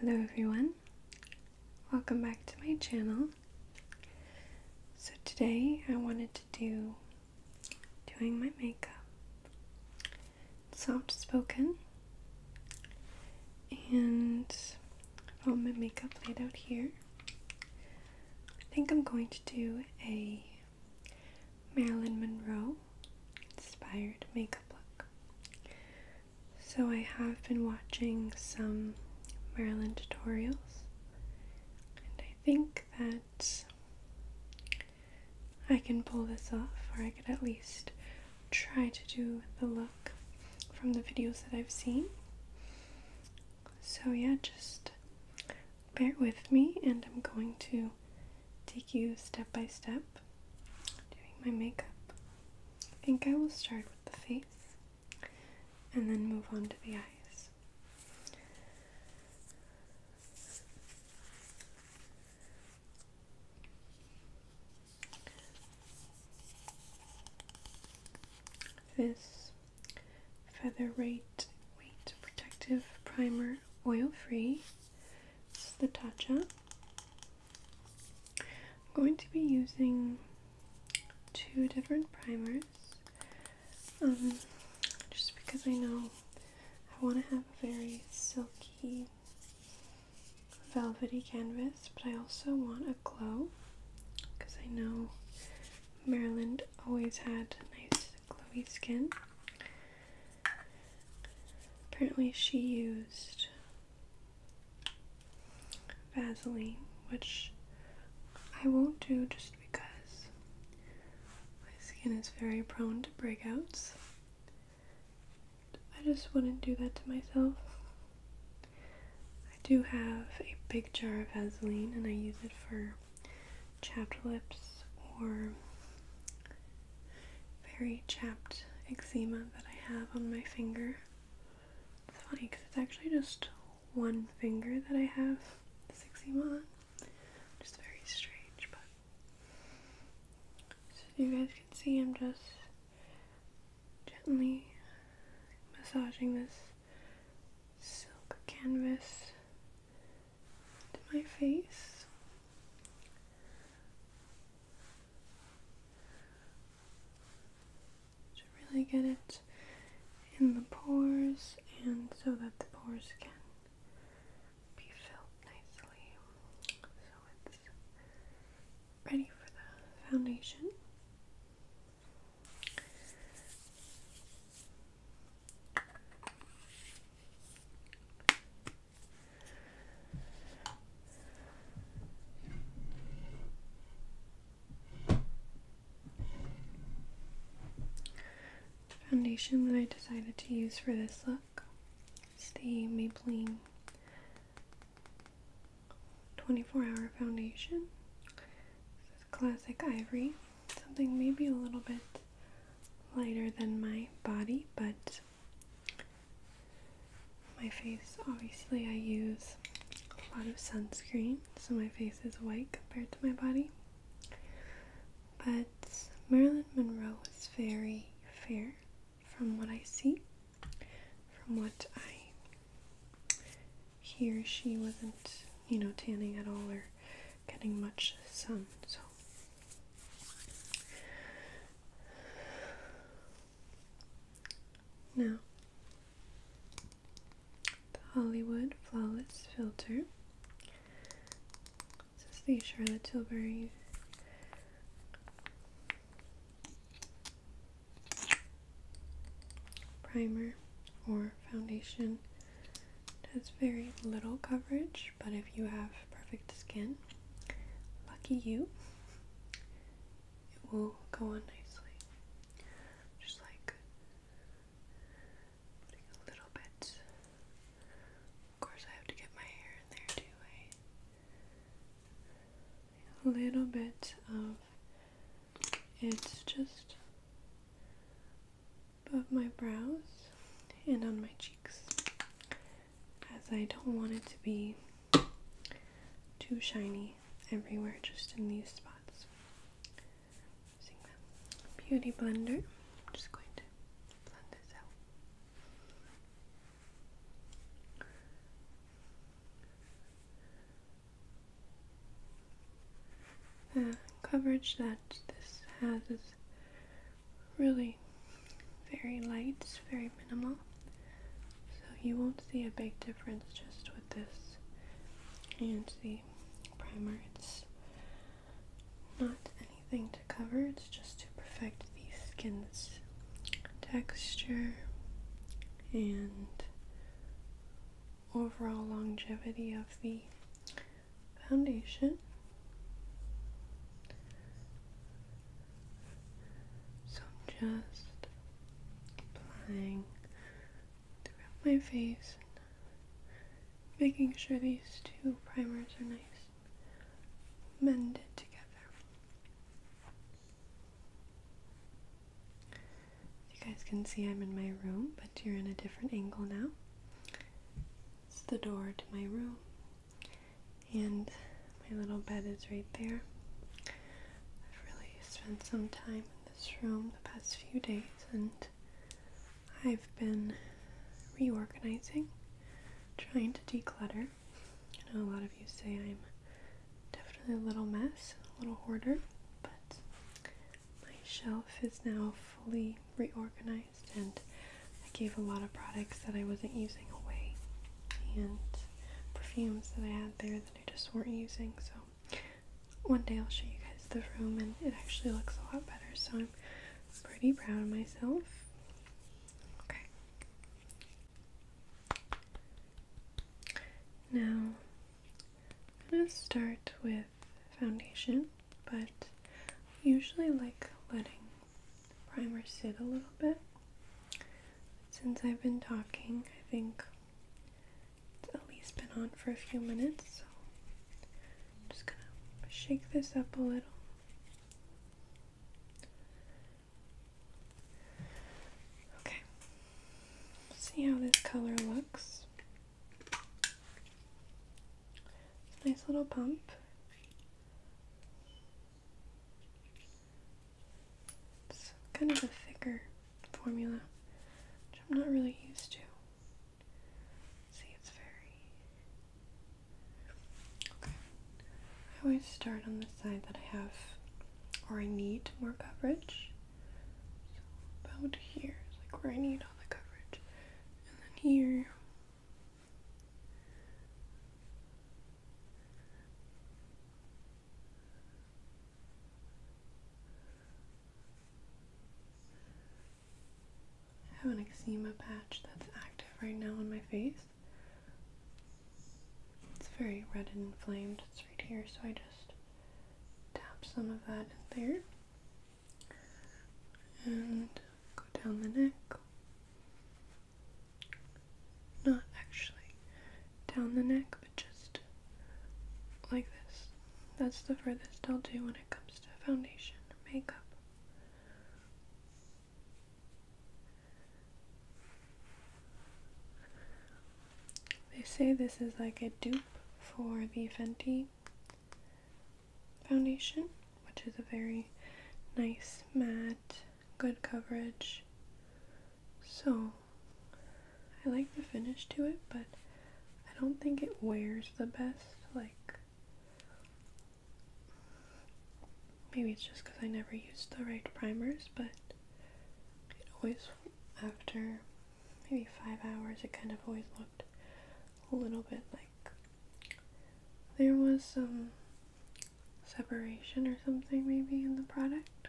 Hello everyone, welcome back to my channel. So today I wanted to do doing my makeup. Soft spoken and all my makeup laid out here. I think I'm going to do a Marilyn Monroe inspired makeup look. So I have been watching some Maryland tutorials, and I think that I can pull this off, or I could at least try to do the look from the videos that I've seen. So yeah, just bear with me, and I'm going to take you step by step doing my makeup. I think I will start with the face and then move on to the eyes. This Featherweight Weight Protective Primer Oil Free. This is the Tatcha. I'm going to be using two different primers um, just because I know I want to have a very silky, velvety canvas, but I also want a glow because I know Maryland always had nice, glowy skin. Apparently, she used Vaseline, which I won't do just because my skin is very prone to breakouts. I just wouldn't do that to myself. I do have a big jar of Vaseline and I use it for chapped lips or very chapped eczema that I have on my finger. It's funny because it's actually just one finger that I have this eczema on. Just very strange, but so you guys can see I'm just gently massaging this silk canvas to my face. To really get it in the pores and so that the pores can be filled nicely. So it's ready for the foundation. Foundation that I decided to use for this look is the Maybelline 24 Hour Foundation. This is classic ivory, something maybe a little bit lighter than my body, but my face, obviously, I use a lot of sunscreen, so my face is white compared to my body. But Marilyn Monroe was very fair from what I see, from what I hear. She wasn't, you know, tanning at all or getting much sun, so now, the Hollywood Flawless Filter. This is the Charlotte Tilbury primer or foundation. It very little coverage, but if you have perfect skin. Lucky you. It will go on nicely. Just like a little bit. Of course, I have to get my hair in there too. A little bit of it's just above my brows and on my cheeks as I don't want it to be too shiny everywhere, just in these spots. beauty blender, I'm just going to blend this out. The uh, coverage that this has is really very light, very minimal. So you won't see a big difference just with this and the primer. It's not anything to cover, it's just to perfect the skin's texture and overall longevity of the foundation. So I'm just applying throughout my face and making sure these two primers are nice mended together. You guys can see I'm in my room, but you're in a different angle now. It's the door to my room and my little bed is right there. I've really spent some time in this room the past few days and I've been reorganizing, trying to declutter. I know a lot of you say I'm definitely a little mess, a little hoarder, but my shelf is now fully reorganized and I gave a lot of products that I wasn't using away and perfumes that I had there that I just weren't using. So one day I'll show you guys the room and it actually looks a lot better. So I'm pretty proud of myself. Okay. Now I'm going to start with foundation, but usually like letting primer sit a little bit. Since I've been talking, I think it's at least been on for a few minutes, so I'm just gonna shake this up a little. Okay, see how this color looks. nice little pump. It's kind of a thicker formula, which I'm not really used to. See, it's very. Okay. I always start on the side that I have or I need more coverage. So about here, like where I need all the coverage. And then here I have an eczema patch that's active right now on my face. It's very red and inflamed. It's right here, so I just tap some of that in there and go down the neck not actually down the neck, but just like this. That's the furthest I'll do when it comes to foundation makeup. They say this is like a dupe for the Fenty foundation, which is a very nice matte good coverage. So I like the finish to it, but I don't think it wears the best. Like, maybe it's just because I never used the right primers, but it always, after maybe five hours, it kind of always looked a little bit like there was some separation or something maybe in the product.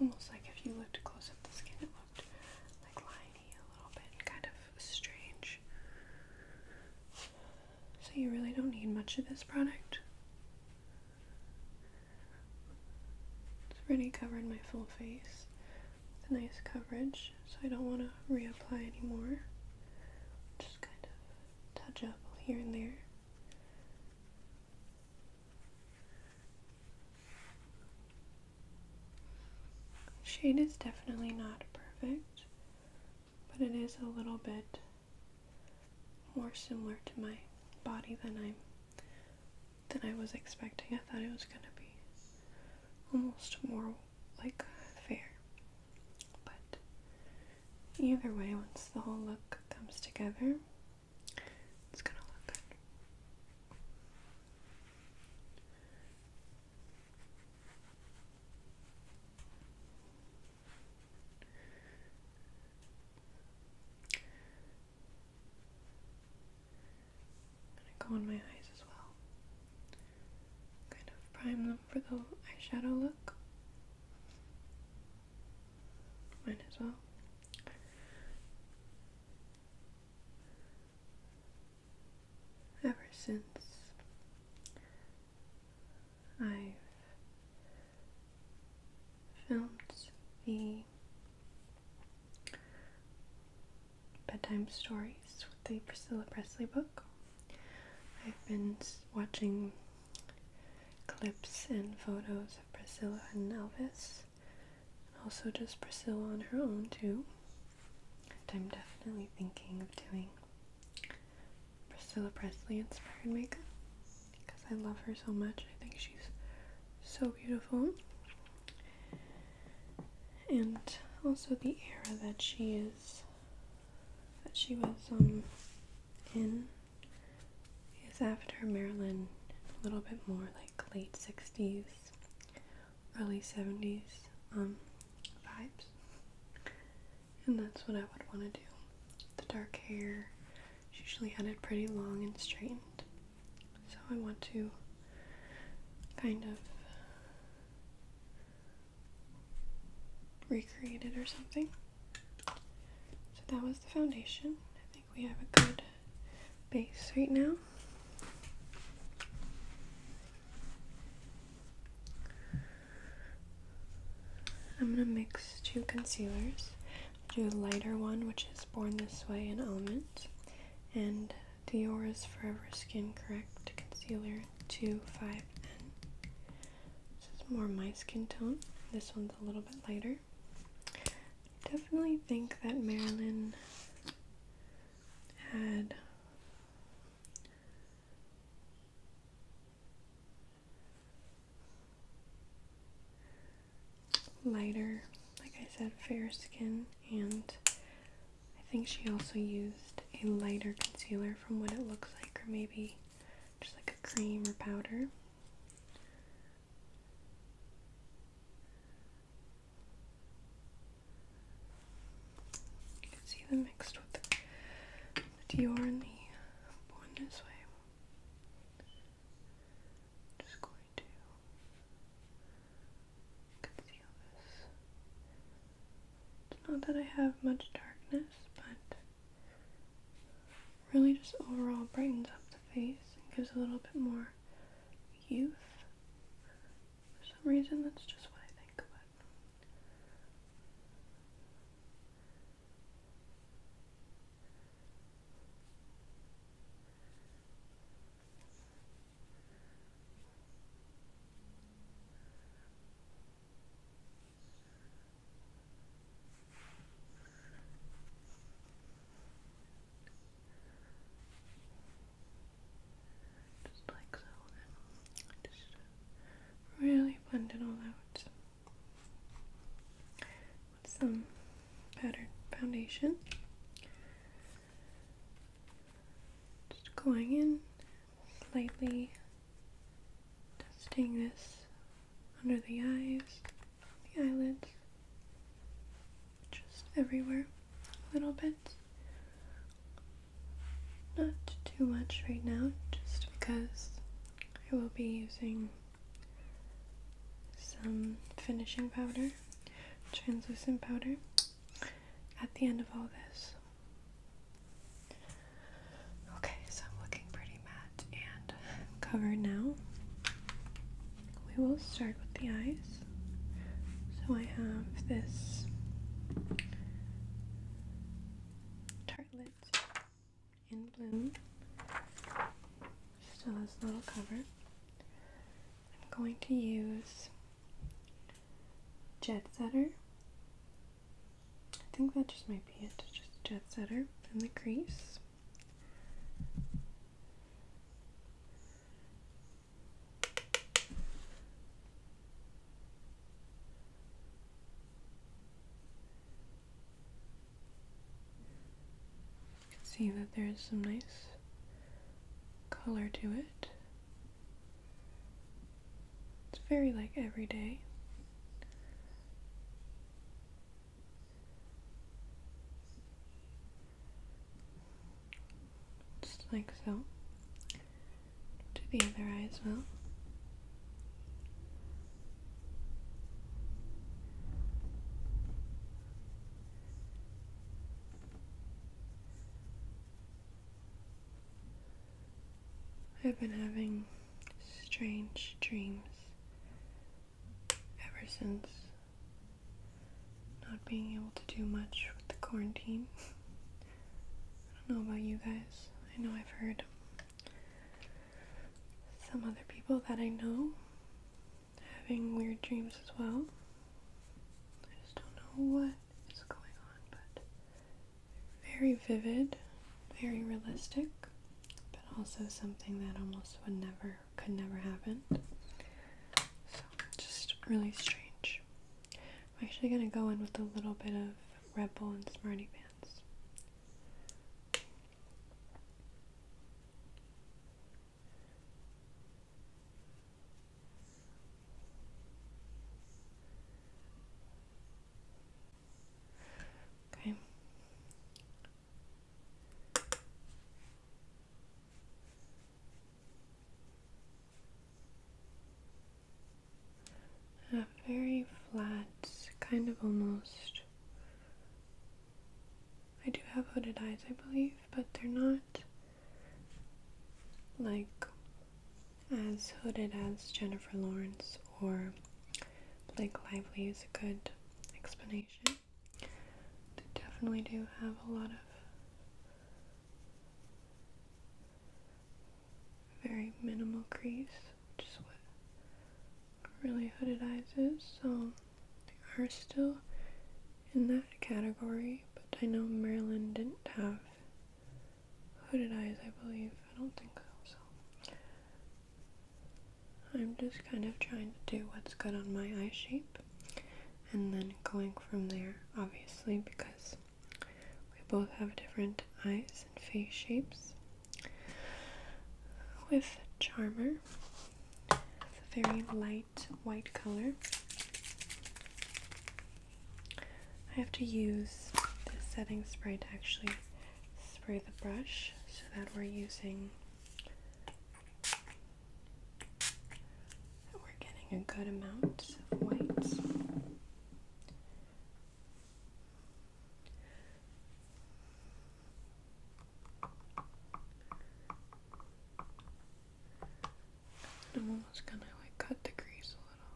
Almost like if you looked close up the skin, it looked like liney a little bit, kind of strange. So you really don't need much of this product. It's already covered my full face with a nice coverage so I don't want to reapply anymore. Just kind of touch up here and there. Shade is definitely not perfect, but it is a little bit more similar to my body than I'm than I was expecting. I thought it was gonna be almost more like fair. But either way, once the whole look comes together, it's gonna look good. i go on my eyes as well kind of prime them for the eyeshadow look. Might as well. Ever since i filmed the bedtime stories with the Priscilla Presley book. I've been watching clips and photos of Priscilla and Elvis, and also just Priscilla on her own too. And I'm definitely thinking of doing Priscilla Presley inspired makeup because I love her so much. I think she's so beautiful. And also the era that she is that she was um, in is after Marilyn, a little bit more like late 60s, early 70s um, vibes. And that's what I would want to do. The dark hair, she usually had it pretty long and straightened. So I want to kind of recreated or something. So that was the foundation. I think we have a good base right now. I'm going to mix two concealers. Do a lighter one, which is Born This Way and Element, and Diora's Forever Skin Correct Concealer two, five, N. This is more my skin tone. This one's a little bit lighter. Definitely think that Marilyn had lighter, like I said, fair skin and I think she also used a lighter concealer from what it looks like, or maybe just like a cream or powder. You can see them mixed with the, Dior and the Born This Way. just going to conceal this it's not that I have much darkness, but really just overall brightens up the face and gives a little bit more youth. For some reason, that's just what I think about. Just like so, then just really blend it all out with some pattern foundation. Just going in, lightly. Testing this under the eyes, the eyelids, just everywhere a little bit. Not too much right now, just because I will be using some finishing powder, translucent powder, at the end of all this. Okay, so I'm looking pretty matte and covered now. We will start with the eyes. So I have this Tartlet in Bloom. Still has a little cover. I'm going to use Jet Setter I think that just might be it. Just jet setter from the crease. You can see that there is some nice color to it. It's very like everyday. Just like so. To the other eye as well. I've been having strange dreams ever since not being able to do much with the quarantine. I don't know about you guys. I know I've heard some other people that I know having weird dreams as well. I just don't know what what is going on, but very vivid, very realistic, but also something that almost would never, could never happen. So, just really strange. I'm actually going to go in with a little bit of Rebel and smartie Pants. Okay. A very flat, kind of almost. I do have hooded eyes, I believe, but they're not like as hooded as Jennifer Lawrence or Blake Lively is a good explanation. They definitely do have a lot of very minimal crease, which is what really hooded eyes is, so they are still in that category, but I know Marilyn didn't have hooded eyes, I believe. I don't think so. I'm just kind of trying to do what's good on my eye shape and then going from there, obviously, because we both have different eyes and face shapes. With Charmer, it's a very light white color. I have to use this setting spray to actually spray the brush so that we're using that we're getting a good amount of whites. I'm almost gonna like cut the grease a little.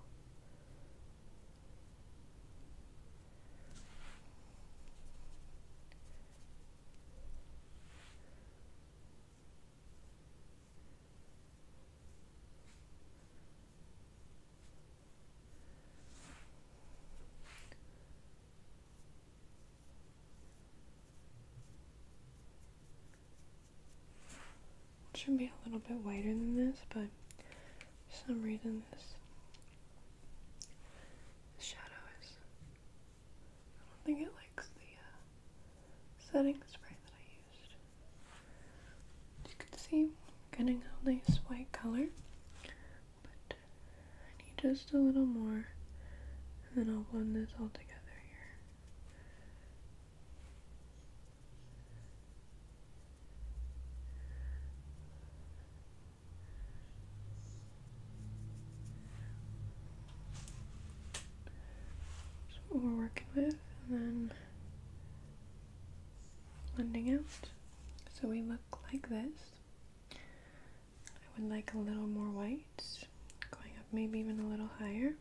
It should be a little bit whiter than this, but for some reason this shadow is. I don't think it likes the uh, setting spray that I used. you can see, I'm getting a nice white color, but I need just a little more, and then I'll blend this all together here. That's we're working with, and then blending out. So we look like this. I would like a little more white, going up maybe even a little higher.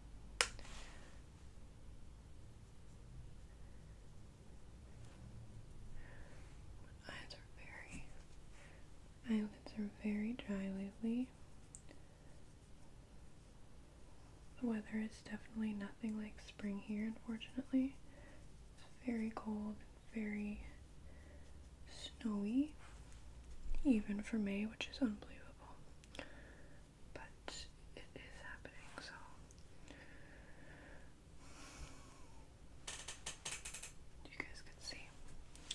Eyes are very eyelids are very dry lately. The weather is definitely nothing like spring here, unfortunately. It's very cold, very snowy, even for May, which is unbelievable but it is happening, so you guys can see.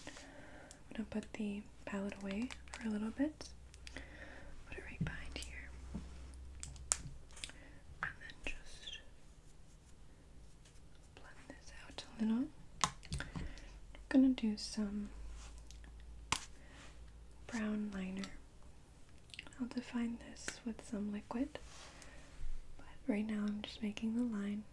I'm gonna put the palette away for a little bit, put it right behind here, and then just blend this out a little. I'm gonna do some brown liner I'll define this with some liquid, but right now I'm just making the line.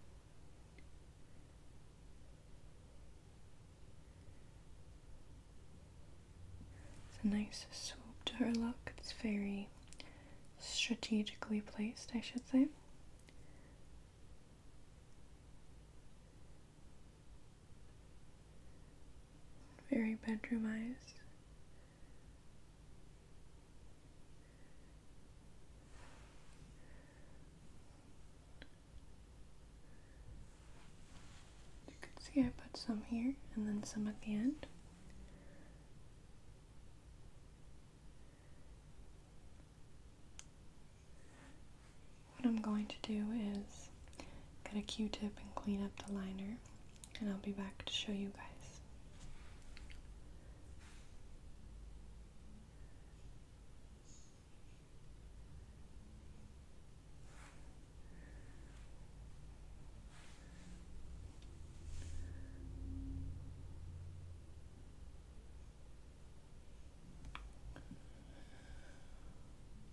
It's a nice swoop to her look. It's very strategically placed, I should say very bedroomized. You can see I put some here and then some at the end. What I'm going to do is Get a q-tip and clean up the liner and I'll be back to show you guys.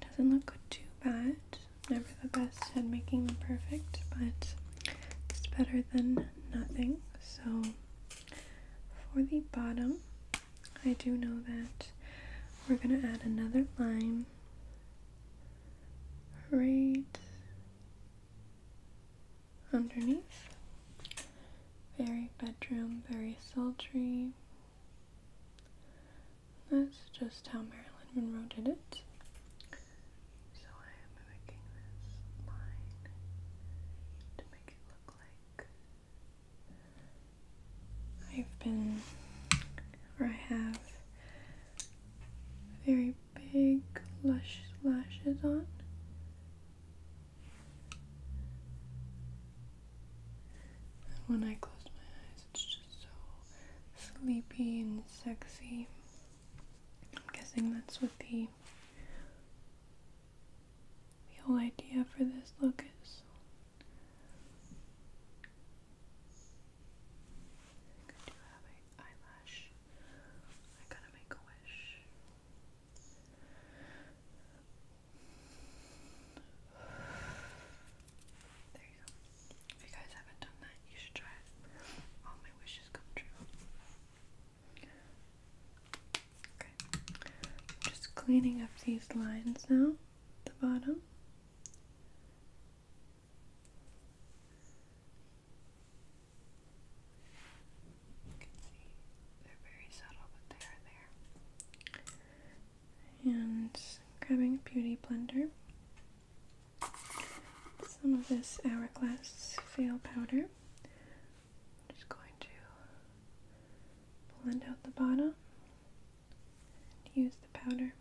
Doesn't look too bad. Never the best at making them perfect, but it's better than nothing. So for the bottom, I do know that we're going to add another line right underneath. Very bedroom, very sultry. That's just how Marilyn Monroe did it. So I am mimicking this line to make it look like I've been, or I have, very big, lush lashes on. When I close my eyes, it's just so sleepy and sexy. I'm guessing that's what the the whole idea for this look is. eyelash. I gotta make a wish. There you go. If you guys haven't done that, you should try it. All my wishes come true. Okay. I'm just cleaning up these lines now the bottom. You can see they're very subtle, but they are there and grabbing a beauty blender, some of this Hourglass fail Powder. I'm just going to blend out the bottom use the powder.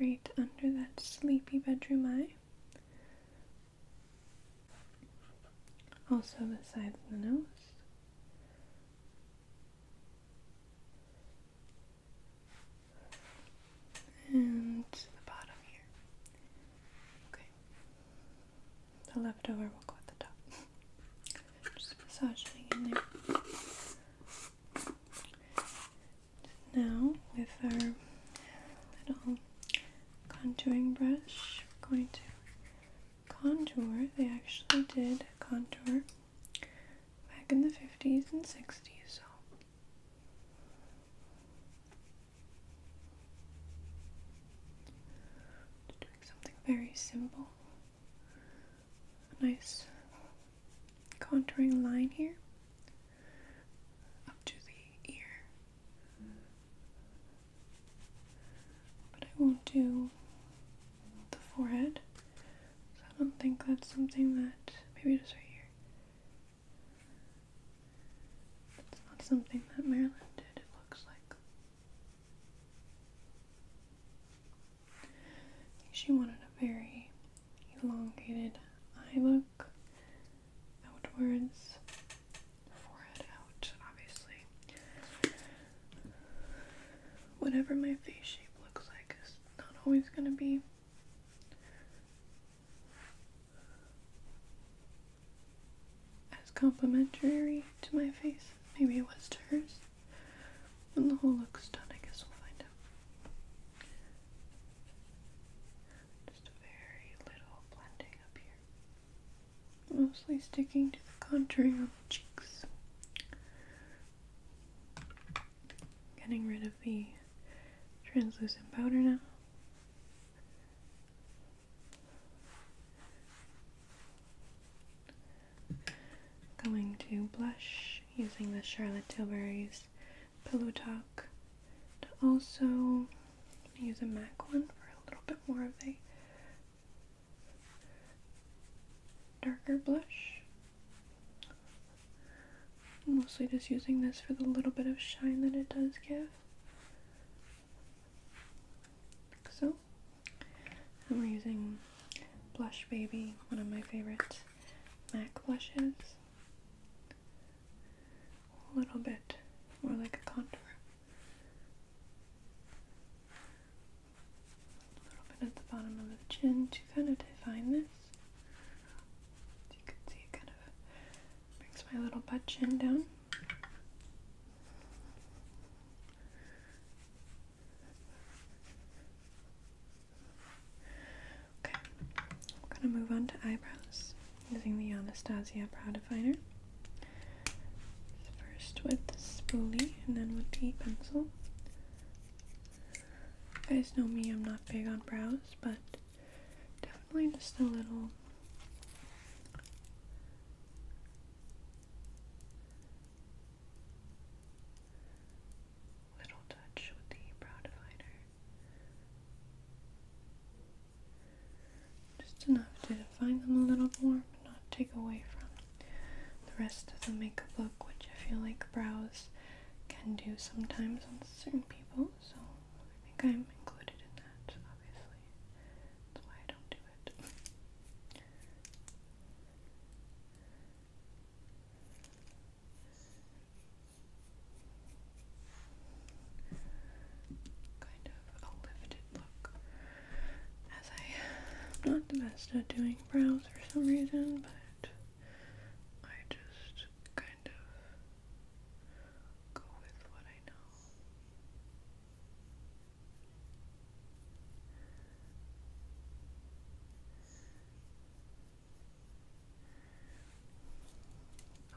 Right under that sleepy bedroom eye also the sides of the nose. And the bottom here. Okay. The leftover will go at the top. Just massaging in there. Now, with our little contouring brush, we're going to contour. They actually did contour back in the 50s and 60s, so. Doing something very simple. nice contouring line here up to the ear. But I won't do the forehead. So I don't think that's something that maybe just right here. That's not something that Marilyn did, it looks like. she wanted a very elongated eye look outwards forehead out, obviously. Whatever my face shape looks like is not always going to be as complimentary to my face. Maybe it was hers. When the whole look's done, I guess we'll find out. Just a very little blending up here mostly sticking to the contouring of the cheeks. Getting rid of the translucent powder now. Going to blush using the Charlotte Tilbury's Pillow Talk. To also use a MAC one for a little bit more of a darker blush. mostly just using this for the little bit of shine that it does give. Like so. And we're using Blush Baby, one of my favorite MAC blushes. A little bit more like a contour. A little bit at the bottom of the chin to kind of define this. As you can see, it kind of brings my little butt chin down. Okay, I'm gonna move on to eyebrows using the Anastasia product modifiner. First with the spoolie and then with the pencil. guys know me, I'm not big on brows, but definitely just a little little touch with the brow divider. Just enough to define them a little more, but not take away from the rest of the makeup look, which I feel like brows can do sometimes on certain people, so I think I'm included in that, obviously. That's why I don't do it. kind of a lifted look as I'm not the best at doing brows for some reason, but I just kind of go with what I know.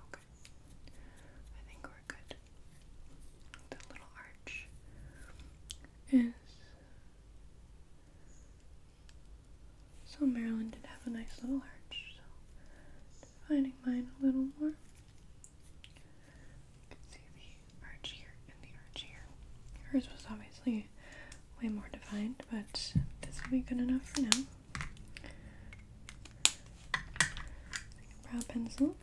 Okay good. The little arch is. So Marilyn did have a nice little arch, so defining mine a little more. see the arch here and the arch here. Hers was obviously way more defined, but this will be good enough for now. Brow pencil.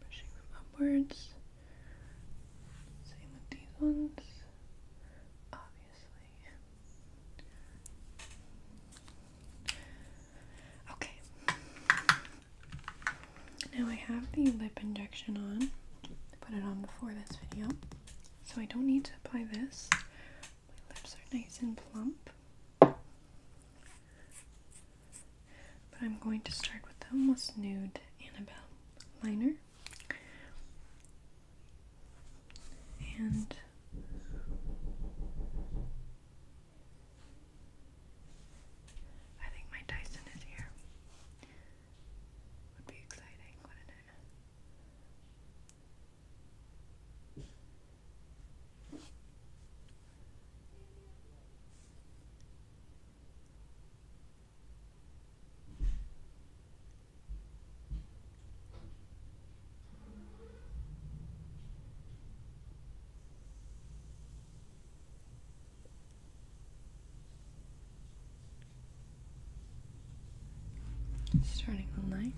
Pushing them upwards. Same with these ones, obviously. Okay. Now I have the lip injection on. put it on before this video. So I don't need to apply this. My lips are nice and plump. But I'm going to start with the most nude Annabelle liner. And I think my Dyson is here. Would be exciting, wouldn't it? Starting the light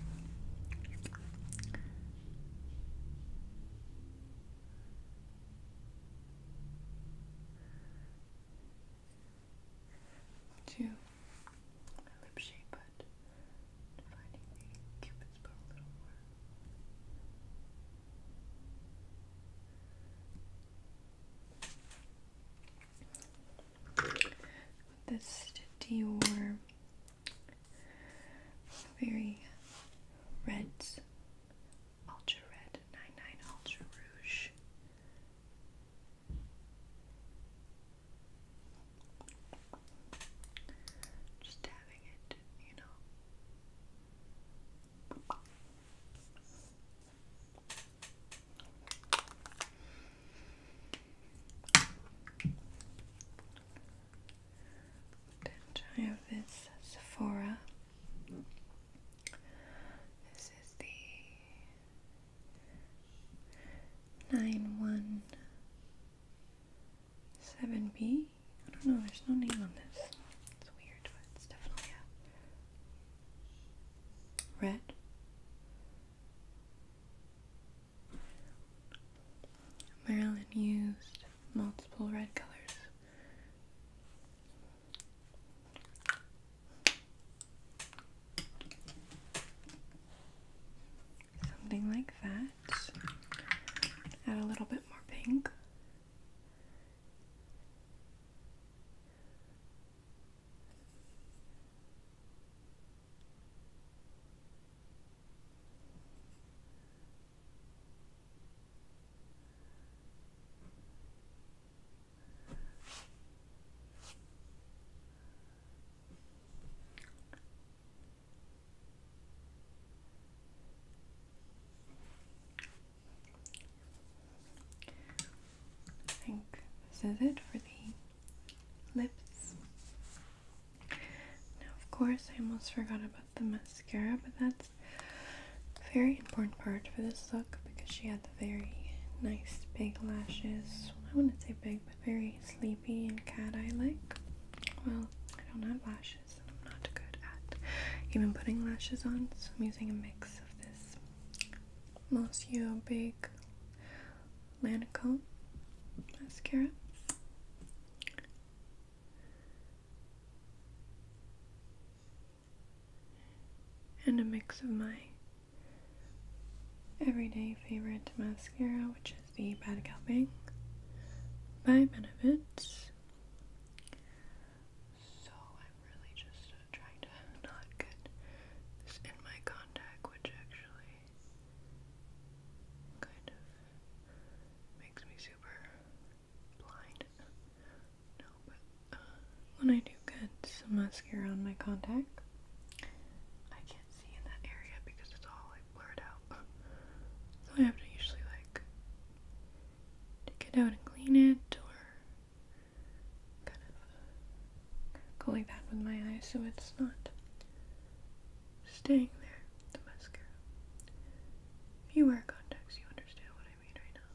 to lip shape, but defining the cupid's bow a little more. With this Dior very reds, ultra red, 99 ultra rouge. Just having it, you know. I have this Sephora. This is the nine one seven B. I don't know. There's no name on this. It's weird, but it's definitely a red. Maryland used multiple red colors. Something like that. Add a little bit more pink. I think this is it for the lips. Now, of course, I almost forgot about the mascara, but that's a very important part for this look because she had the very nice big lashes. I wouldn't say big, but very sleepy and cat eye like. Well, I don't have lashes, I'm not good at even putting lashes on, so I'm using a mix of this Monsieur Big Lancome mascara and a mix of my everyday favorite mascara, which is the Bad Gal Bang by Benefits. So I'm really just trying to not get this in my contact, which actually kind of makes me super blind. No, but uh, when I do get some mascara on my contact, I can't see in that area because it's all like blurred out. So I have to usually like take it out and clean it, or kind of go like that with my eyes so it's not staying there, the mascara. If you wear contacts, you understand what I mean right now.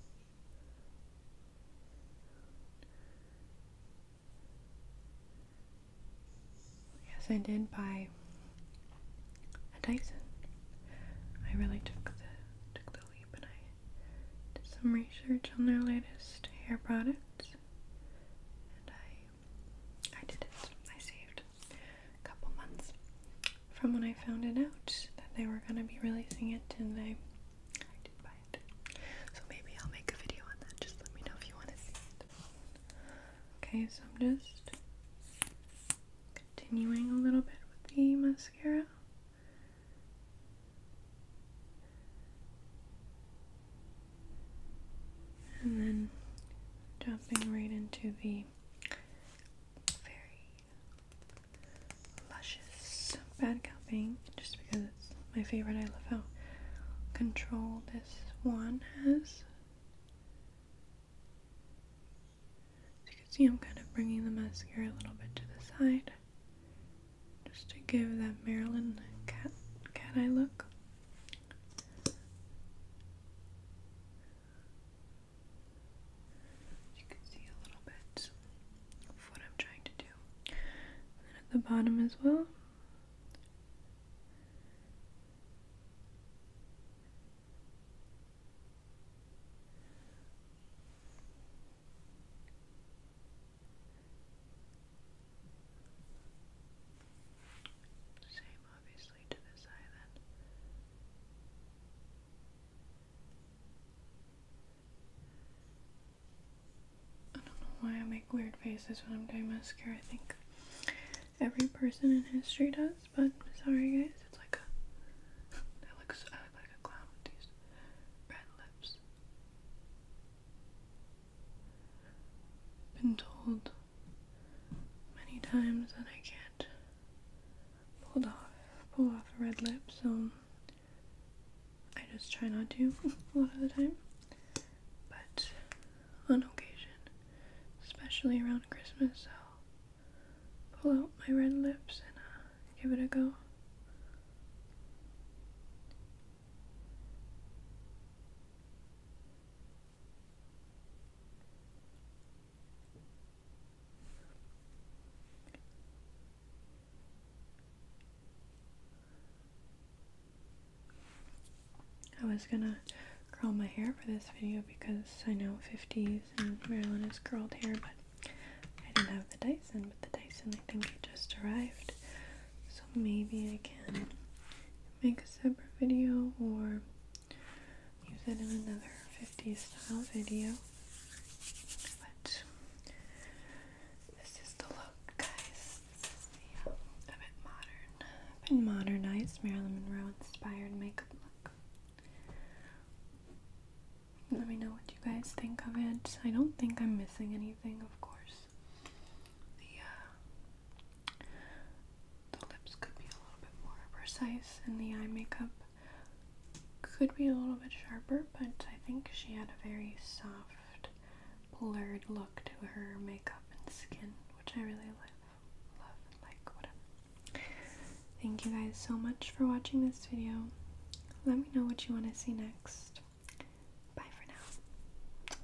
Yes, I did buy a Dyson. I really took the took the leap, and I did some research on their latest hair products, and I I did it. I saved a couple months from when I found it out that they were going to be releasing it, and I, did buy it. So maybe I'll make a video on that. Just let me know if you want to see it. Okay, so I'm just continuing a little bit with the mascara. And then jumping right into the very luscious bad cupping just because it's my favorite. I love how control this one has. As you can see, I'm kind of bringing the mascara a little bit to the side just to give that Marilyn cat, cat eye look. You can see a little bit of what I'm trying to do. And at the bottom as well. Same, obviously, to this eye then. I don't know why I make weird faces when I'm doing mascara. I think every person in history does, but sorry guys, it's like I look like a clown with these red lips. Been told many times that I can't pull off pull off a red lip, so I just try not to a lot of the time. But on occasion, especially around Christmas, I'll pull out my red lips and uh, give it a go. I was gonna curl my hair for this video because I know 50s and Marilyn has curled hair, but I didn't have the Dyson, but the Dyson I think it just arrived. So maybe I can make a separate video or use it in another 50s style video. But this is the look, guys. This is the um, a bit modern, a bit modernized Marilyn Monroe inspired makeup look. Let me know what you guys think of it. I don't think I'm missing anything, of course. The uh, the lips could be a little bit more precise, and the eye makeup could be a little bit sharper, but I think she had a very soft, blurred look to her makeup and skin, which I really love, love and like, whatever. Thank you guys so much for watching this video. Let me know what you want to see next. Bye for now.